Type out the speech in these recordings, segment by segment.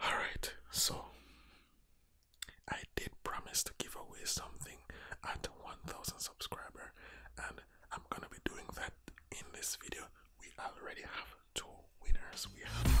All right, so I did promise to give away something at 1000 subscriber and I'm going to be doing that in this video we already have two winners. We have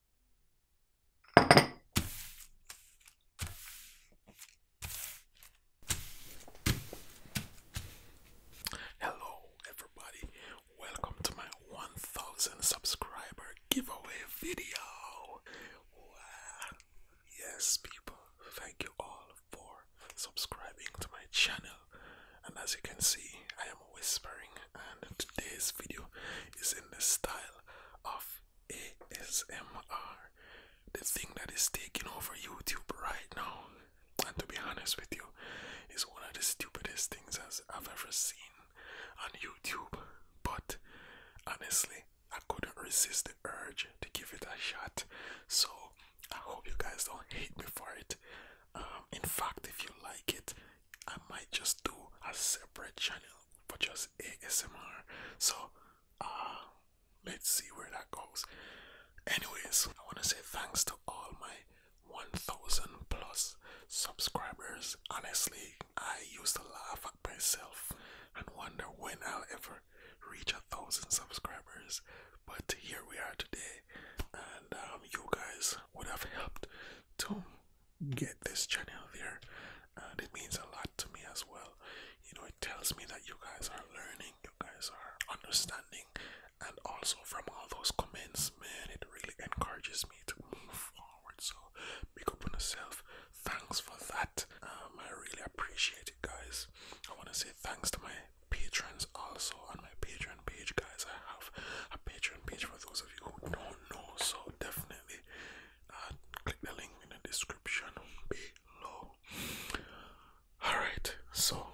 Hello, everybody, welcome to my 1000 subscriber giveaway video. Yes, people, thank you all for subscribing to my channel. And as you can see, I am whispering, and today's video is in the style of ASMR, the thing that is taking over YouTube right now, and to be honest with you, is one of the stupidest things I've ever seen on YouTube. But honestly, I couldn't resist the urge to give it a shot, so I hope you guys don't hate me for it. Um, in fact, if you like it, I might just do a separate channel for just ASMR. So, uh, let's see where that goes. Anyways, I want to say thanks to all my 1000 plus subscribers. Honestly, I used to laugh at myself and wonder when I'll ever reach a thousand subscribers, but here we are today, and um, you guys would have helped to get this channel there and it means a lot to me as well. You know, it tells me that you guys are learning, you guys are understanding, and also from all those comments, man, it really encourages me to move forward. So, pick up on yourself. Thanks for that. Um, I really appreciate it, guys. I want to say thanks to my patrons also on my Patreon page, guys. I have a Patreon page for those of you who don't know, so definitely click the link in the description below. Alright, so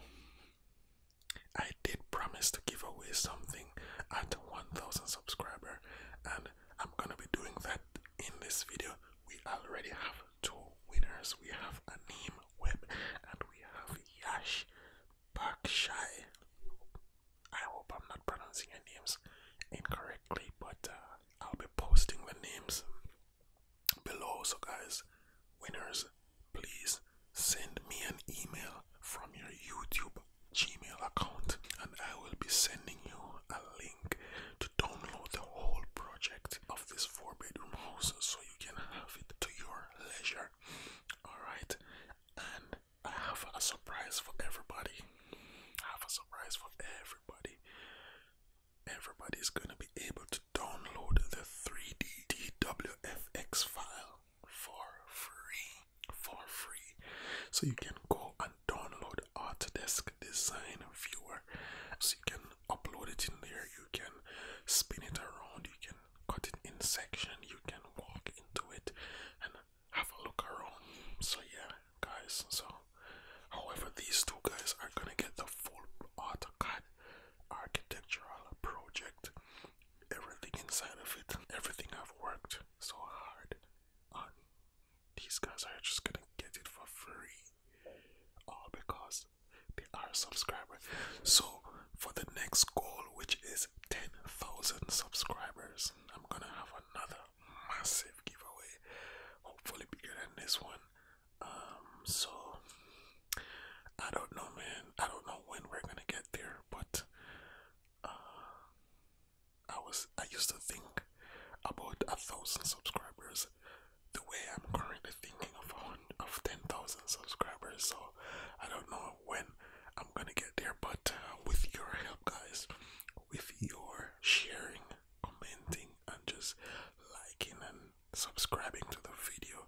I did promise to give away something at 1000 subscriber, and I'm gonna be doing that in this video. We already have two winners we have Aneem Webb and we have Yash Bakshai. I hope I'm not pronouncing your names incorrectly, but uh, I'll be posting the names below. So, guys, winners, please send me an email from your YouTube Gmail account, and I will be sending you a link to download the whole project of this four bedroom house so you can have it to your leisure. Alright, and I have a surprise for everybody. I have a surprise for everybody. Everybody's gonna be able to download the 3D DWFX file for free. For free. So you can go and download Autodesk Design Viewer. So you can upload it in there, you can spin it around, you can cut it in section, you can walk into it have a look around. So yeah, guys. So, however, these two guys are gonna get the full AutoCAD architectural project. Everything inside of it. Everything I've worked so hard on. These guys are just gonna get it for free, all because they are subscribers. So for the next goal, which is ten thousand subscribers, I'm gonna have another massive giveaway, hopefully bigger than this one. Um, so I don't know, man. I don't know when we're gonna get there, but uh, I was I used to think about a thousand subscribers. The way I'm currently thinking of of ten thousand subscribers, so I don't know when I'm gonna get there, but uh, with your help, guys, with your sharing, commenting, and just liking and subscribing to the video,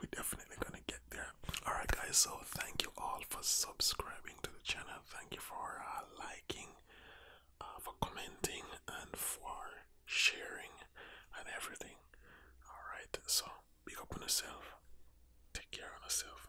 we definitely gonna get there. Alright, guys, so thank you all for subscribing to the channel, thank you for uh, liking, uh, for commenting, and for sharing and everything. Alright, so be open on yourself, take care of yourself.